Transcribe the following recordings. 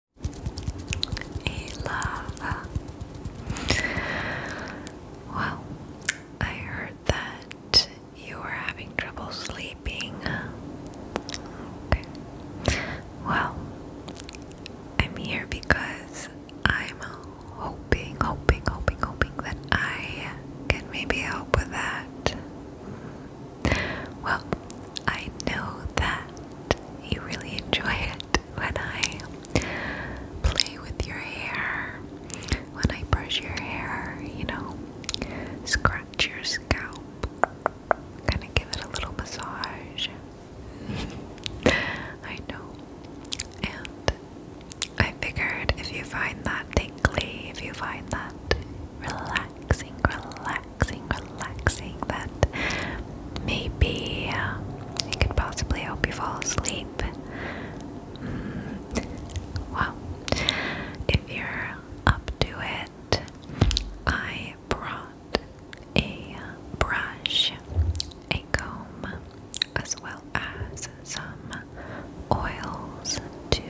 A Well, I heard that you were having trouble sleeping. Okay. Well, I'm here because I'm hoping, hoping, hoping, hoping that I can maybe help with that. Well, I know that you really enjoy it when I play with your hair, when I brush your hair, you know, scratch your scalp, kind of give it a little massage. I know. And I figured if you find that tingly, if you find that relaxing, relaxing relaxing, relaxing that maybe uh, it could possibly help you fall asleep. Mm. Well, if you're up to it, I brought a brush, a comb, as well as some oils to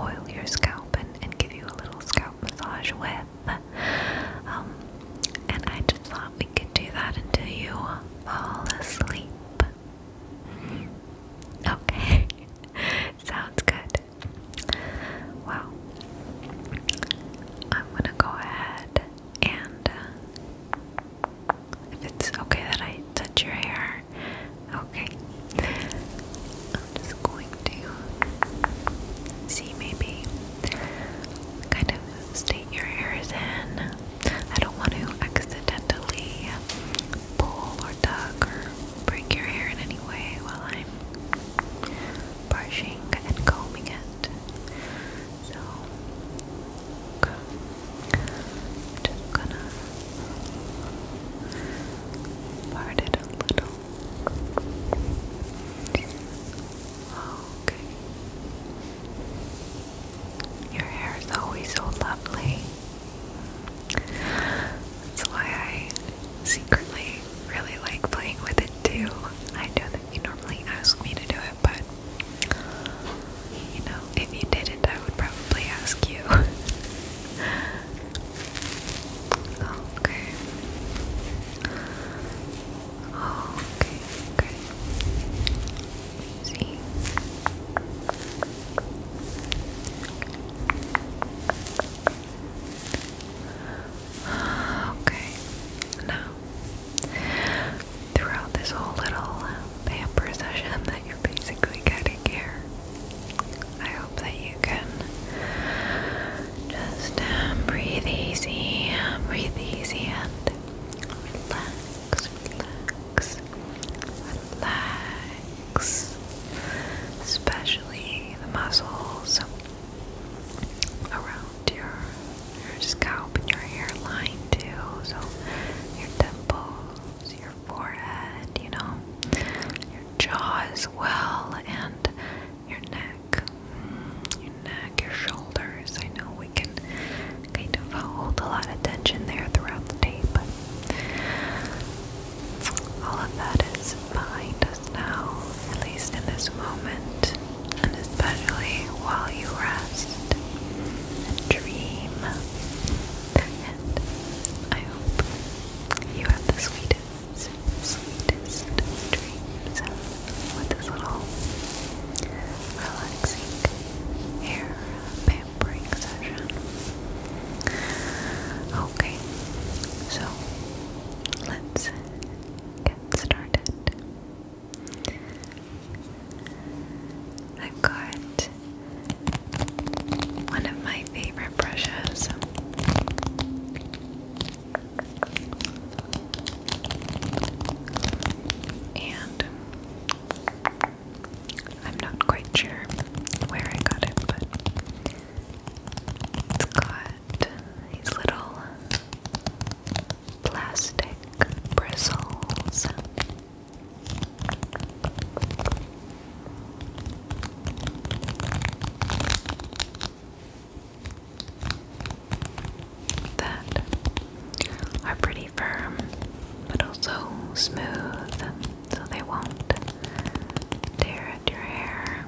oil your scalp and, and give you a little scalp massage with. Um, and I just thought we could do that until you fall asleep. Okay, sounds good. Well, I'm gonna go ahead and uh, if it's okay that I touch your hair, okay. I'm just going to see maybe kind of state your hairs in. I don't want to accidentally pull or tug or break your hair in any way while I'm brushing and combing it. So gonna part it a little. Okay. Your hair is always so lovely. That's why I secretly really like playing with it too. I know that you normally ask me to do it, but you know, if you didn't, I would probably ask you. okay. Oh, okay, okay. See. Okay, now throughout this whole little pamper session that you're basically getting here, I hope that you can just um, breathe easy, breathe easy and relax, relax, relax, especially the muscles around your, your scalp your hairline too, so your temples, your forehead, you know, your jaw well, and your neck, your neck, your shoulders. I know we can kind of hold a lot of tension there throughout the day, but all of that is behind us now, at least in this moment, and especially while you rest and dream. And I hope you have the sweetest sweetest dreams with this little relaxing hair pampering session. Okay, so let's get started. I've got one of my favorite brushes. And I'm not quite sure where I got it, but it's got these little plastic bristles that are pretty firm but also smooth so they won't tear at your hair.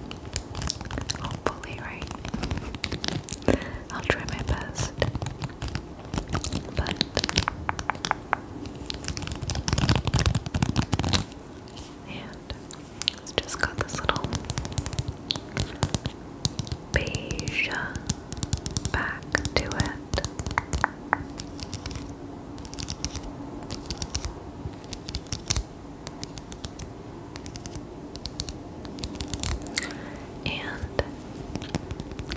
Hopefully, right? I'll try my best. But yeah. And it's just got this little beige uh, back to it. And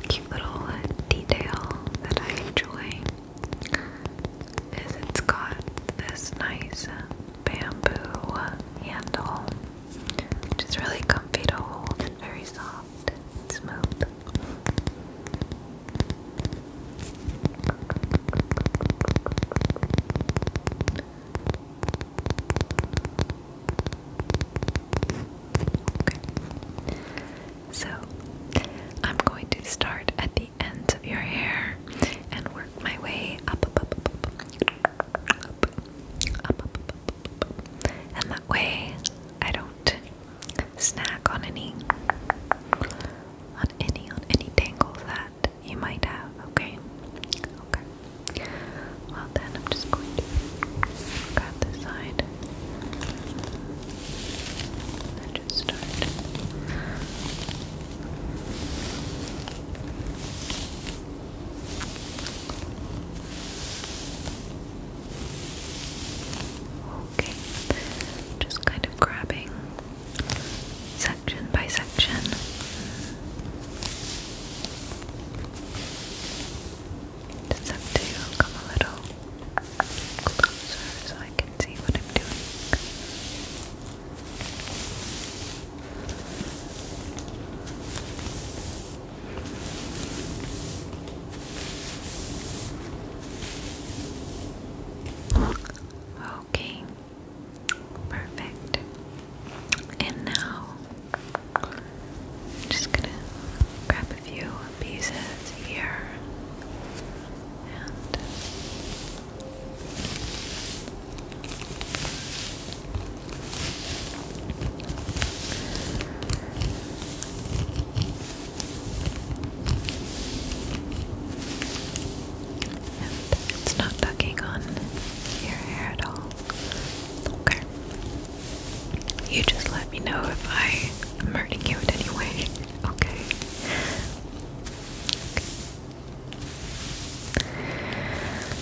cute little detail that I enjoy is it's got this nice uh, bamboo handle, which is really comfy to hold and very soft and smooth. So, I'm going to start at the ends of your hair and work my way up and that way I don't snack on any, on any, on any tangles that you might have. Okay, okay. Well then, I'm just going to grab this side and just start. Okay, just kind of grabbing section by section. Just have to come a little closer so I can see what I'm doing. Okay, perfect. And now I'm just gonna grab a few pieces here and it's not tugging on your hair at all. Okay. You just let me know if I am hurting you in any way. okay.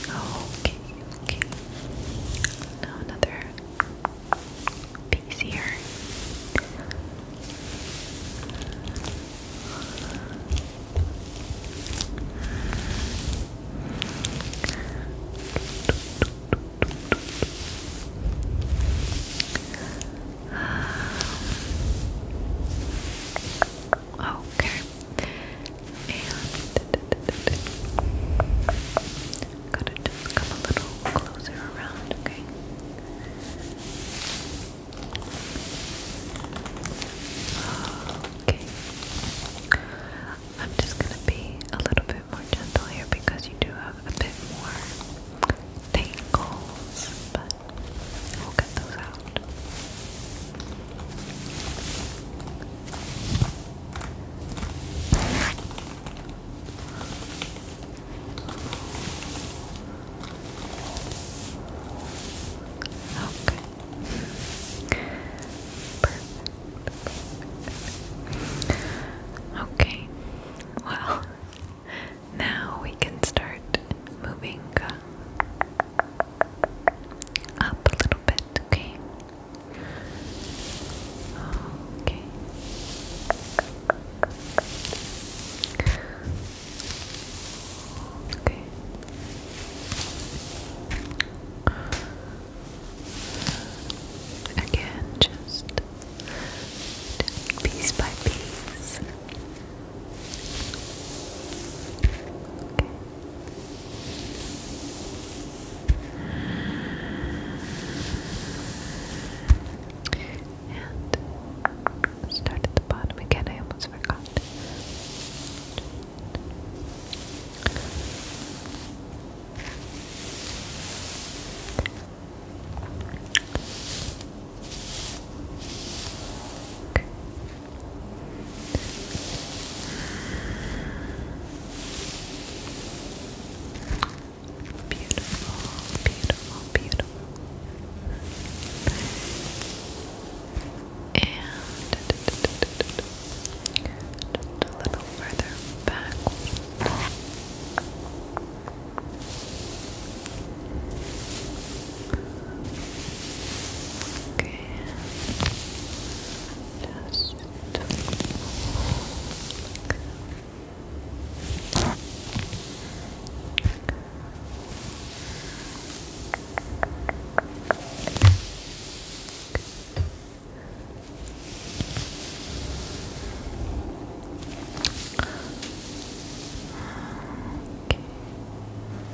Okay, okay. Now another piece here. okay, and I'm just gonna be a little bit more gentle here because you do have a bit more tangles, but we'll get those out. Okay. Okay. Well, now we can start moving up a little bit, okay? Okay. Okay. Again, just piece by piece. And start at the bottom again. I almost forgot. Beautiful, beautiful, beautiful. And just a little further back. Just Okay.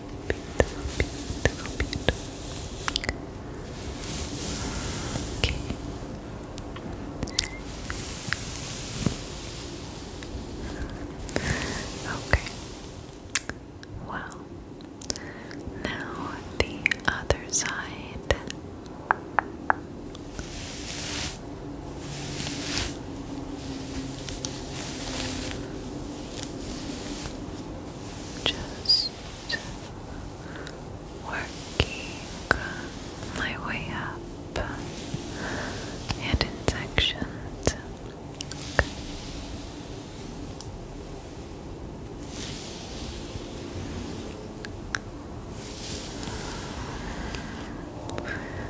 beautiful, beautiful. Okay. Okay. Well, now the other side. Just working my way up and in sections.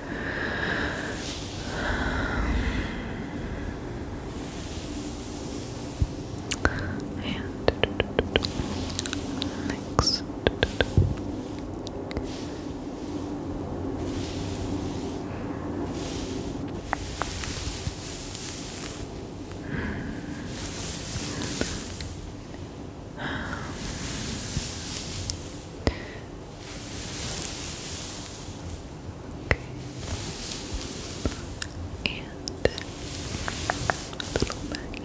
And next. Okay. And back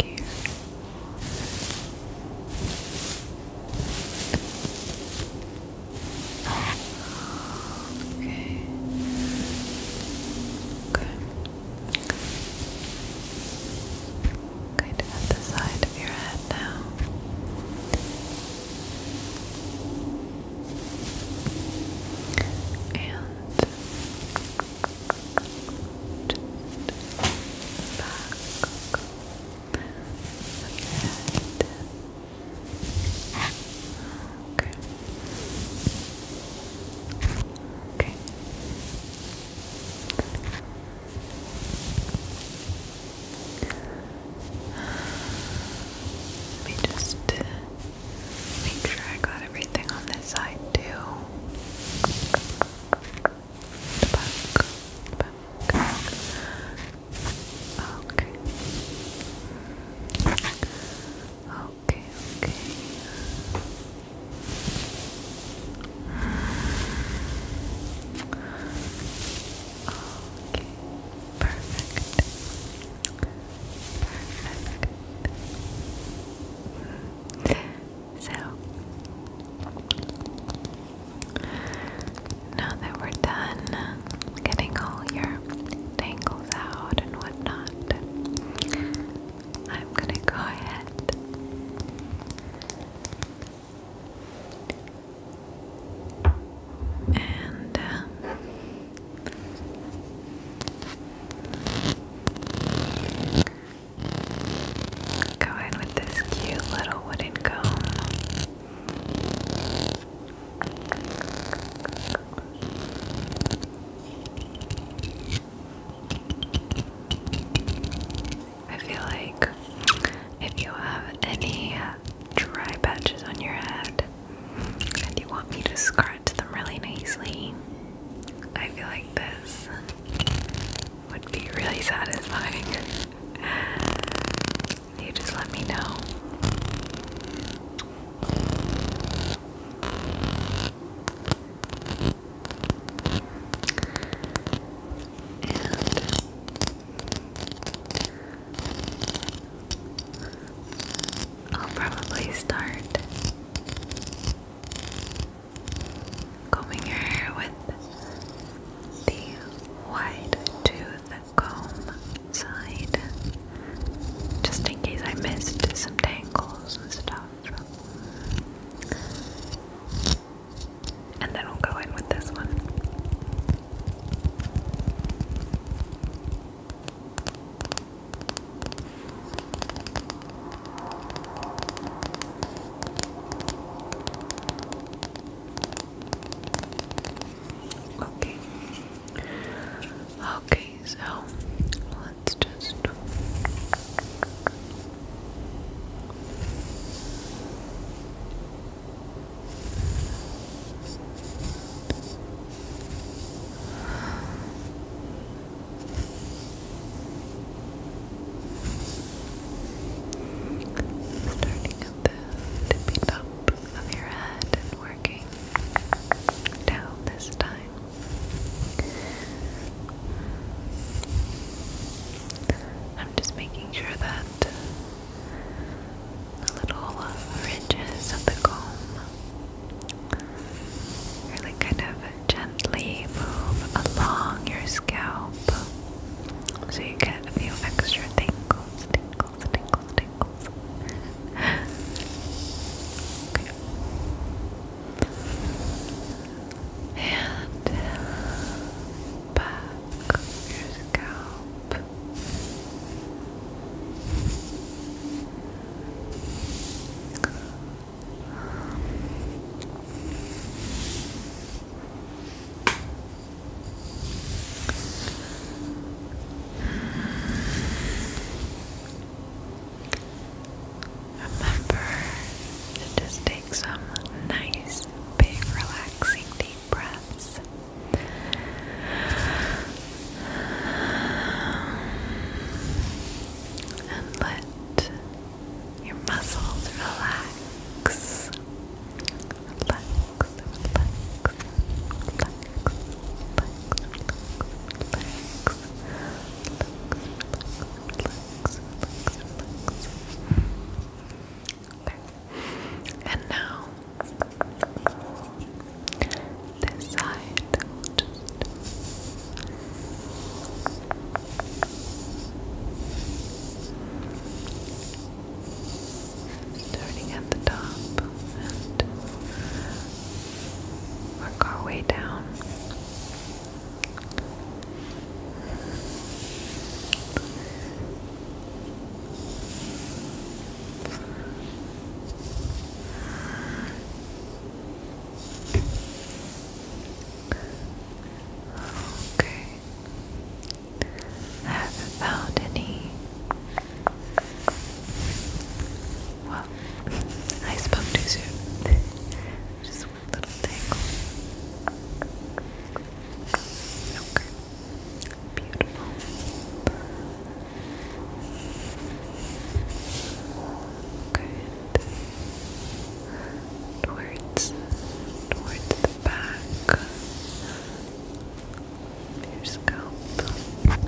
here. Okay. Good. at the side of your head now and just back of Okay. Okay. Let me just uh, make sure I got everything on this side too. Back, back. Okay. Okay, okay. Okay. Perfect. So now that we're done getting all your tangles out and whatnot, I'm gonna go ahead and uh, with this cute little wooden comb. I feel like if you have any dry patches on your head, and you want me to scratch them really nicely. I feel like this would be really satisfying. You just let me know. I'll probably start combing your hair with the wide tooth comb side, just in case I missed some tangles and stuff. And then we'll go in with this one. Okay. Okay, so let's just Okay. Starting at the tippy top of your head and working down this time. I'm just making sure that the little uh, ridges of the comb. Really kind of gently move along your scalp so you get a few extra tingles, tingles, tingles, tingles. okay. And uh, your scalp. Remember to just take some nice, big, relaxing deep breaths. And let your muscles relax. Relax, relax, relax, relax, relax, relax, relax, relax, relax. And now this side we at the top and work our way down. Okay. I haven't found any. I spoke too soon. Just one little tangle. Okay. Beautiful. Good. Towards, towards the back of your scalp. Okay.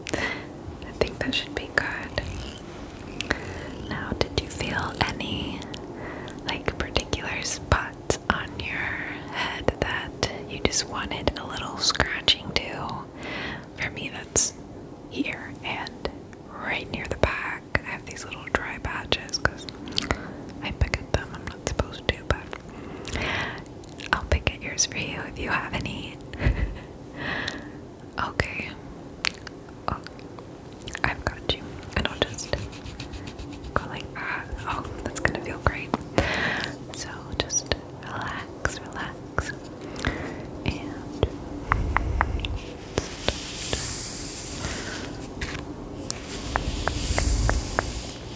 Okay. I think that should be good. Now, did you feel any like particular spots on your head that you just wanted a little scratching to? For me, that's here and right near the back. I have these little dry patches because I pick at them. I'm not supposed to, but I'll pick at yours for you if you have any. okay. Oh, I've got you. And I'll just go like that. Oh, that's gonna feel great. So just relax, relax. And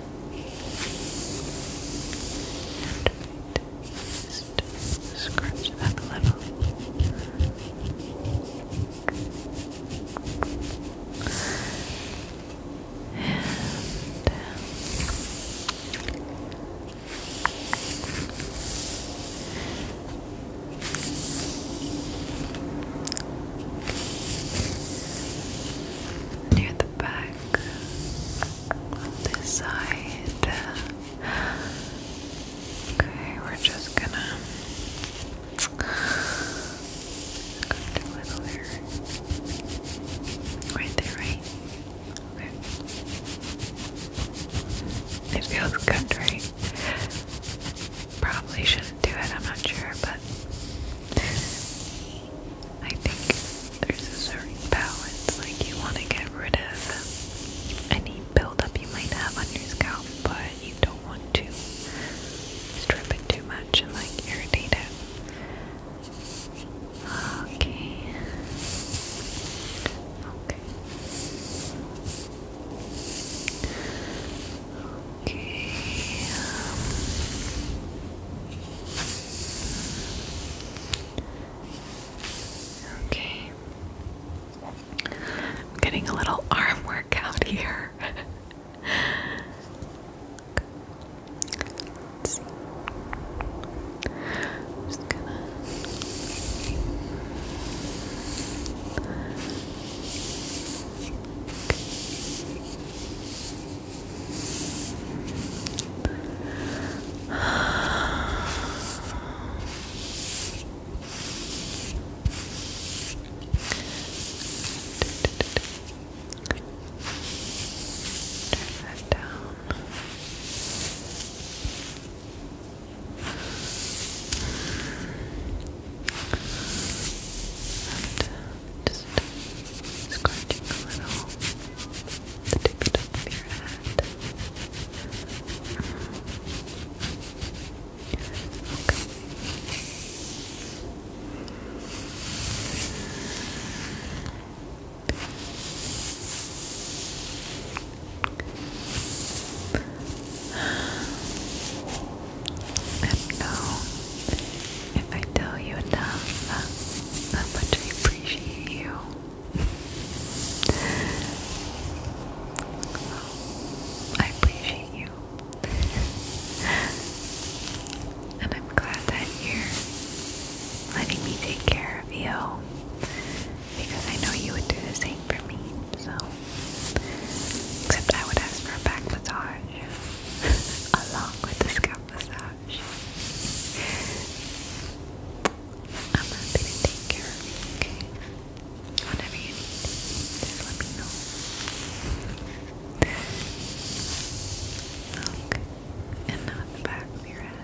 And just scratch that a little. And um, near the back this side. Okay, we're just gonna go a little here. Right there, right? Okay. It feels good, right? Probably shouldn't do it, I'm not sure, but I think there's a certain balance like you want to get rid of any buildup you might have on your scalp, but you don't want to strip it too much and like irritate it. Okay. Okay. Okay. Um, Okay. I'm getting a little arm workout here that down. And just scratching a little the tippy of your head. Okay. And if I tell you enough uh, how much I appreciate you. I appreciate you. and I'm glad that you're letting me take care of you because I know you would do the same for me. So, except I would ask for a back massage along with the scalp massage. I'm happy to take care of you, okay? Whatever you need, just let me know. Look, and not the back of your head.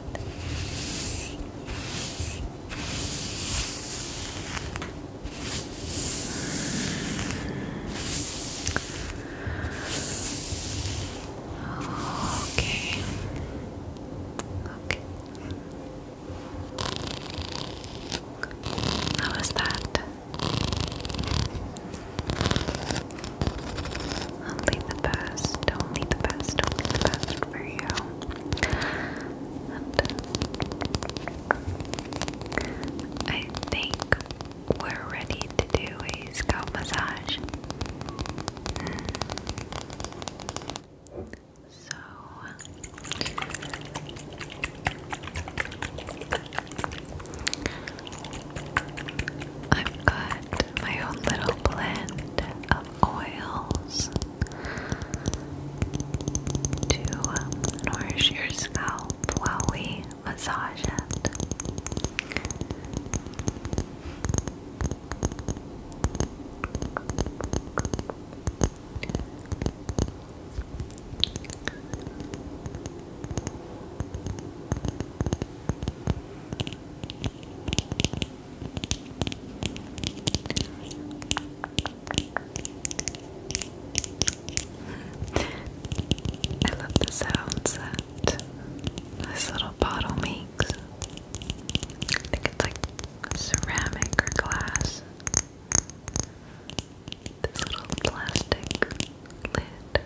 Okay. Okay. How was that? Only the best, only the best, only the best for you. I think we're ready to do a scalp massage. So, I've got my own little blend of oils to nourish your scalp while we massage it. I love the sounds this little bottle makes. I think it's like ceramic or glass. This little plastic lid.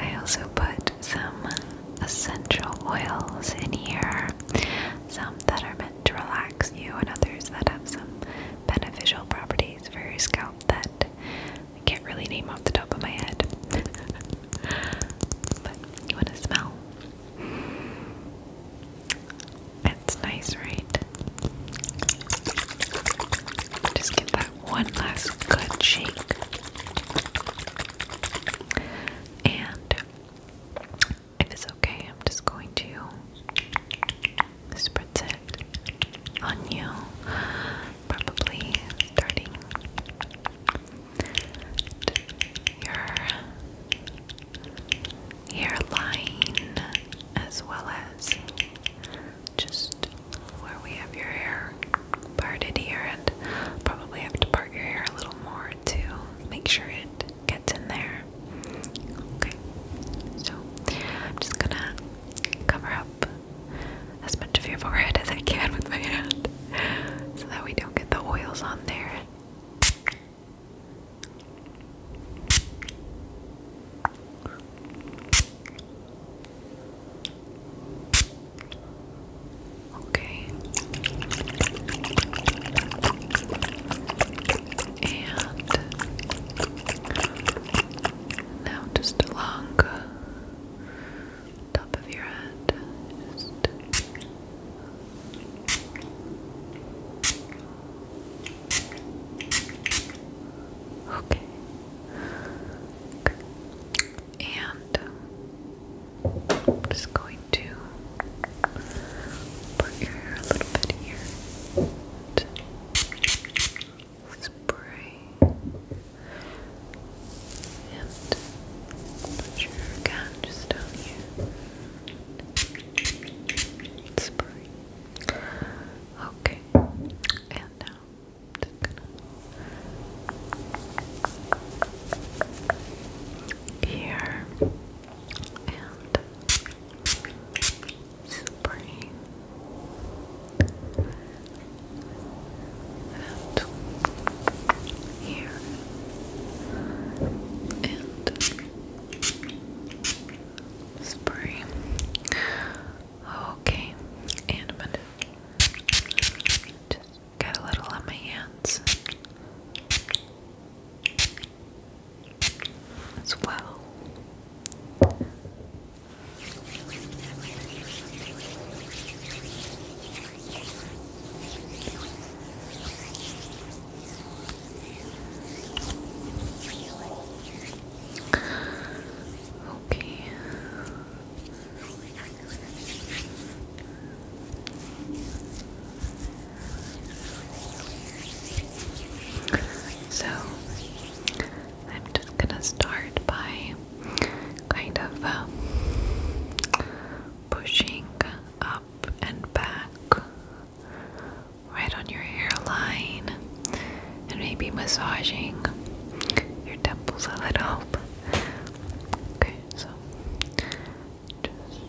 I also put some essential oils in here, some that are meant to relax you, and others that have some beneficial properties for your scalp that I can't really name off the top of my head. but you want to smell? It's nice, right? Just give that one last good shake. And if it's okay, I'm just going to spritz it on you. Probably starting your hairline as well as just where we have your hair parted here and probably have to part your hair a little more to make sure it gets in there. Okay, so I'm just gonna cover up as much of your forehead as I can with my hand so that we don't get the oils on there. Okay. And now just along top of your head. Okay. And I'm just going to put your hair a little bit here. spray and put your hair just down here spray. Okay, and now I'm gonna here and spray and here and spray. Okay, and just get a little on my hands as well. Okay. So, I'm just gonna start by kind of um, pushing up and back right on your hairline, and maybe massaging your temples a little. Okay, so just.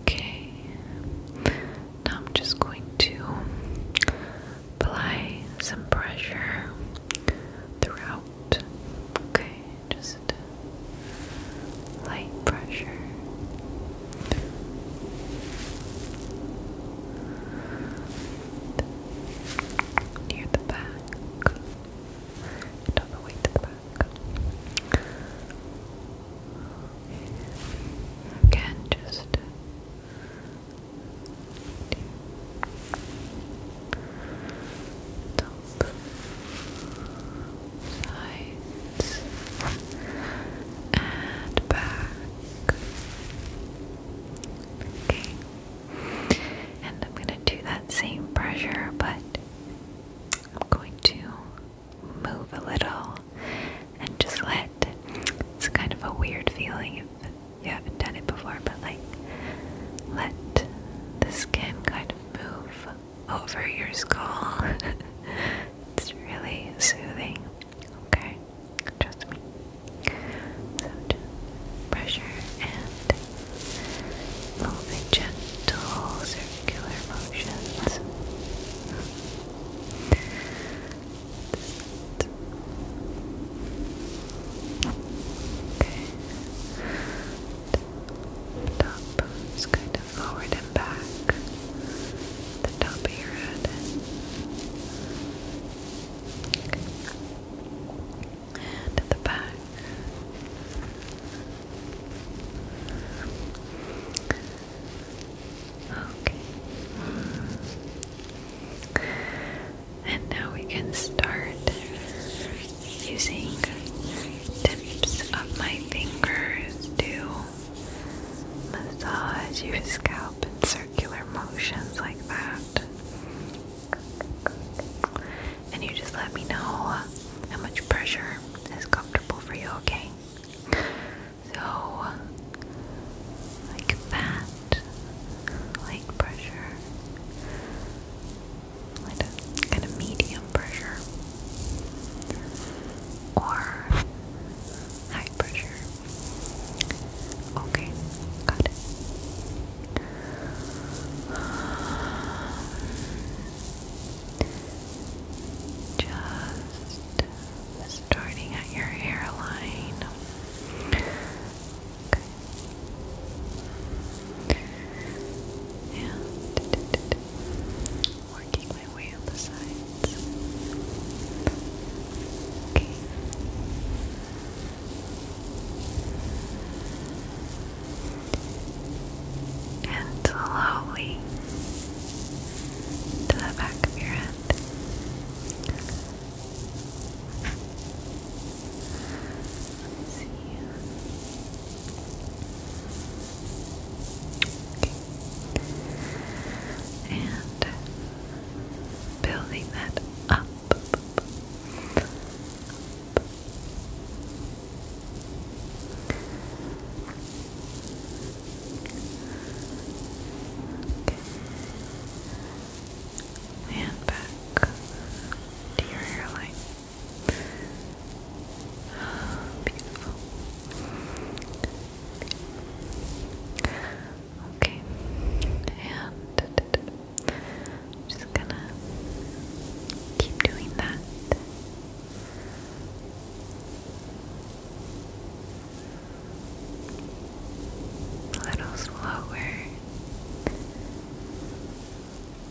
Okay, now I'm just going to apply some pressure throughout. Okay just light pressure. Near the back, and all the way to the back. Again, just up, sides, and back. Okay. And I'm going to do that same pressure, but I'm going to move a little and just let it's kind of a weird feeling if you haven't done it before, but like let the skin kind of move over your skull. it's really soothing. Okay, trust me. just pressure and moving gentle circular motions. Okay top bones kind of forward and back, the top of your head. And the back. Okay. And now we can start using tips of my fingers to massage your scalp in circular motions like that. And you just let me know how much pressure is comfortable for you, okay? So, like that, like pressure, kind of medium pressure or high pressure. Okay, got Just starting at your hairline. Okay. And working my way on the sides. Okay. And slowly to the back of your head. And building that up. And back to your hairline. Beautiful. Okay, and just gonna keep doing that. A little slower.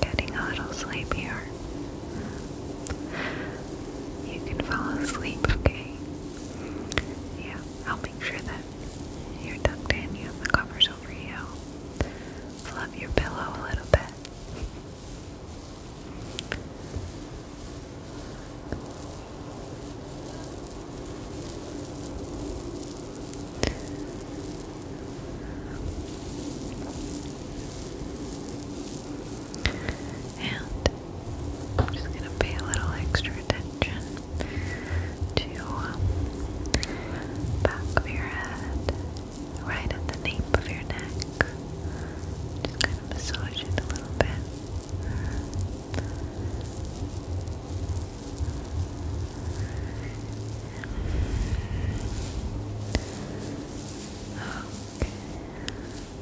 Getting a little sleepier. You can fall asleep, okay? Yeah, I'll make sure that you're tucked in, you have the covers over you. Fluff your pillow a little bit. And I'm just going to pay a little extra attention to um, back of your head, right at the nape of your neck. Just kind of massage it a little bit. Okay.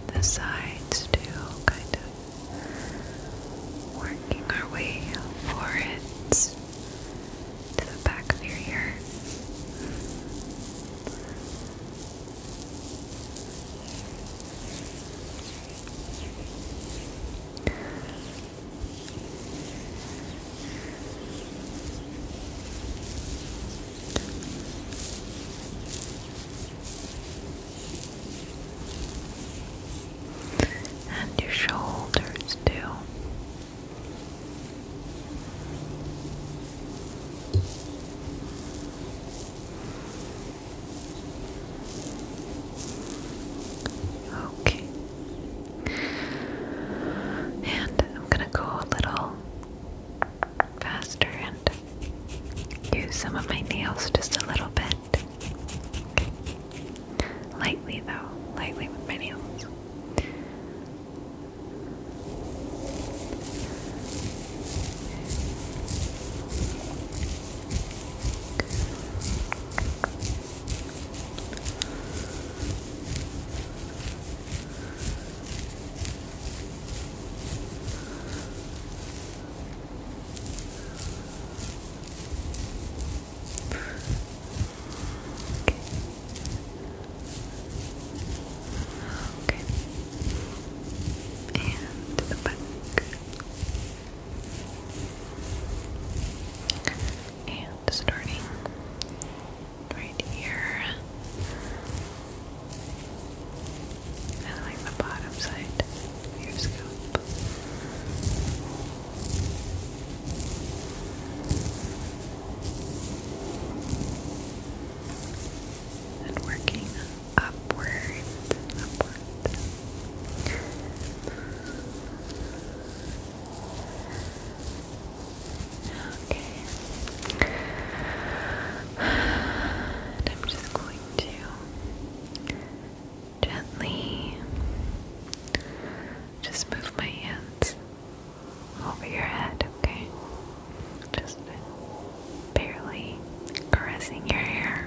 The sides too, kind of working our way forwards to the back of your ear. And your shoulders, too. Okay, and I'm going to go a little faster and use some of my nails just a little bit. Lightly, though, lightly with my nails. Okay. And the back. And starting right here, and the bottom side of your scalp. And working upward, upward. Okay. And I'm just going to gently just move my hands over your head, okay? Just barely caressing your hair.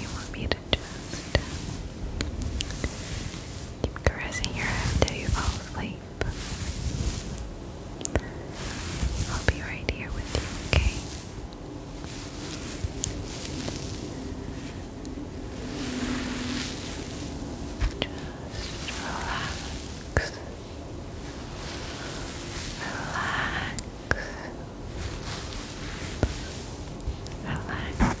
You want me to keep caressing your head till you fall asleep. I'll be right here with you, okay? Just relax. Relax. Relax.